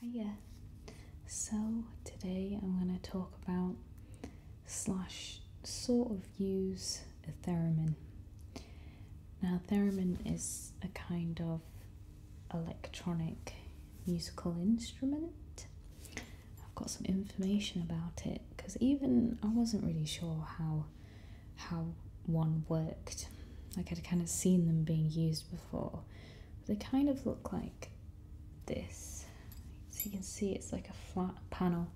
Hiya. So today I'm going to talk about slash sort of use a theremin. Now theremin is a kind of electronic musical instrument. I've got some information about it because even I wasn't really sure how how one worked. Like I'd kind of seen them being used before, they kind of look like this. So you can see it's like a flat panel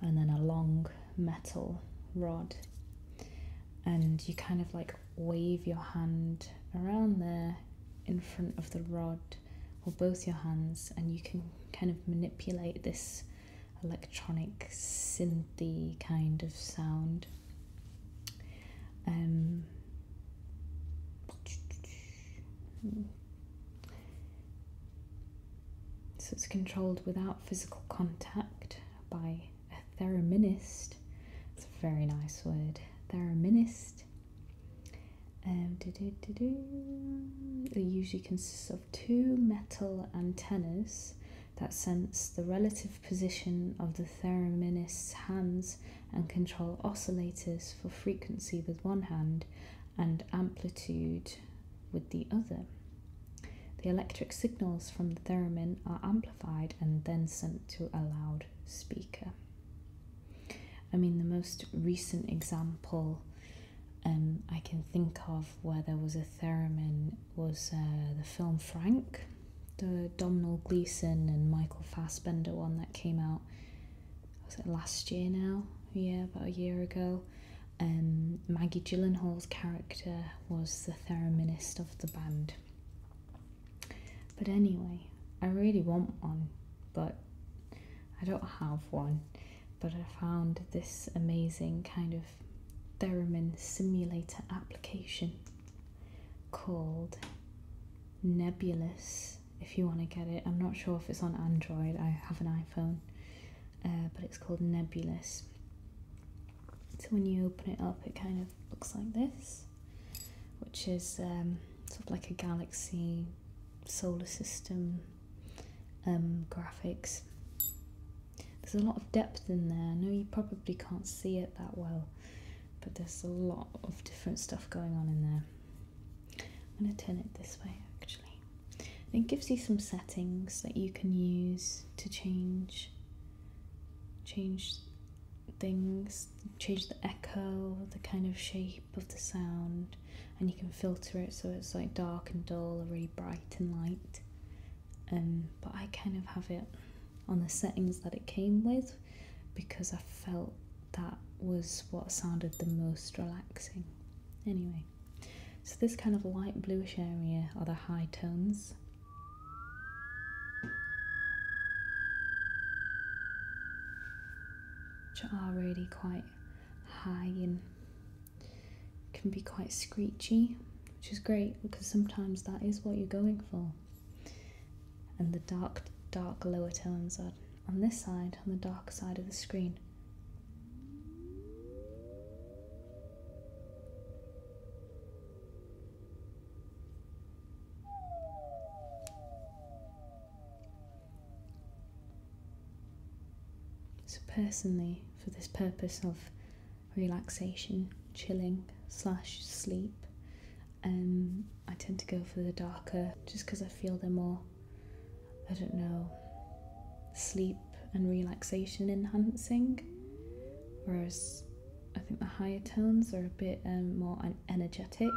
and then a long metal rod. And you kind of like wave your hand around there in front of the rod or both your hands and you can kind of manipulate this electronic synthy kind of sound um, so it's controlled without physical contact by a thereminist. It's a very nice word. Thereminist. it um, usually consists of two metal antennas that sense the relative position of the thereminist's hands and control oscillators for frequency with one hand and amplitude with the other. The electric signals from the theremin are amplified and then sent to a loudspeaker. I mean, the most recent example um, I can think of where there was a theremin was uh, the film Frank, the Domhnall Gleeson and Michael Fassbender one that came out. Was it last year now? Yeah, about a year ago. And um, Maggie Gyllenhaal's character was the thereminist of the band. But anyway, I really want one, but I don't have one. But I found this amazing kind of theremin simulator application called Nebulous. If you want to get it, I'm not sure if it's on Android, I have an iPhone, uh, but it's called Nebulous. So when you open it up, it kind of looks like this, which is um, sort of like a galaxy solar system um, graphics. There's a lot of depth in there. I know you probably can't see it that well, but there's a lot of different stuff going on in there. I'm going to turn it this way actually. it gives you some settings that you can use to change change things, change the echo, the kind of shape of the sound, and you can filter it so it's like dark and dull or really bright and light um, but I kind of have it on the settings that it came with because I felt that was what sounded the most relaxing. Anyway, so this kind of light bluish area are the high tones. Which are really quite high and can be quite screechy, which is great because sometimes that is what you're going for. And the dark, dark lower tones are on this side, on the dark side of the screen. So personally, for this purpose of relaxation, chilling slash sleep. Um, I tend to go for the darker just because I feel they're more, I don't know, sleep and relaxation enhancing. Whereas I think the higher tones are a bit um, more energetic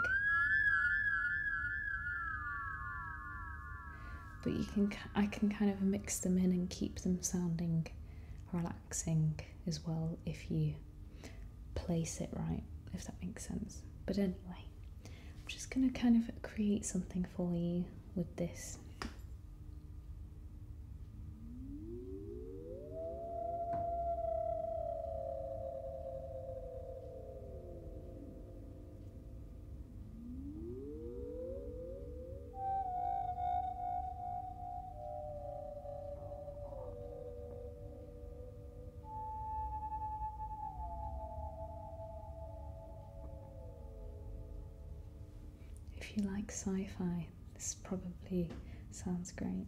but you can I can kind of mix them in and keep them sounding relaxing as well if you place it right, if that makes sense. But anyway, I'm just going to kind of create something for you with this. If you like sci fi, this probably sounds great.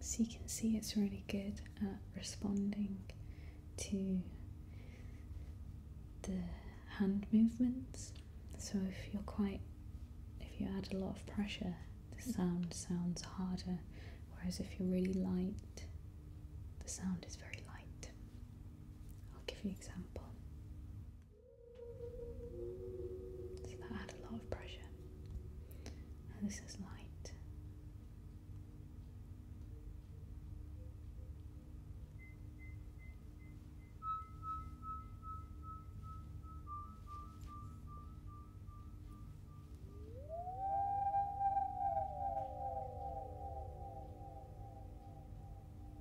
So you can see it's really good at responding to the hand movements. So if you're quite, if you add a lot of pressure, the sound sounds harder. Whereas if you're really light, the sound is very light. I'll give you an example. So that had a lot of pressure. And this is light.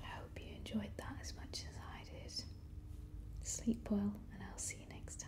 I hope you enjoyed that as much as I did. Sleep well, and I'll see you next time.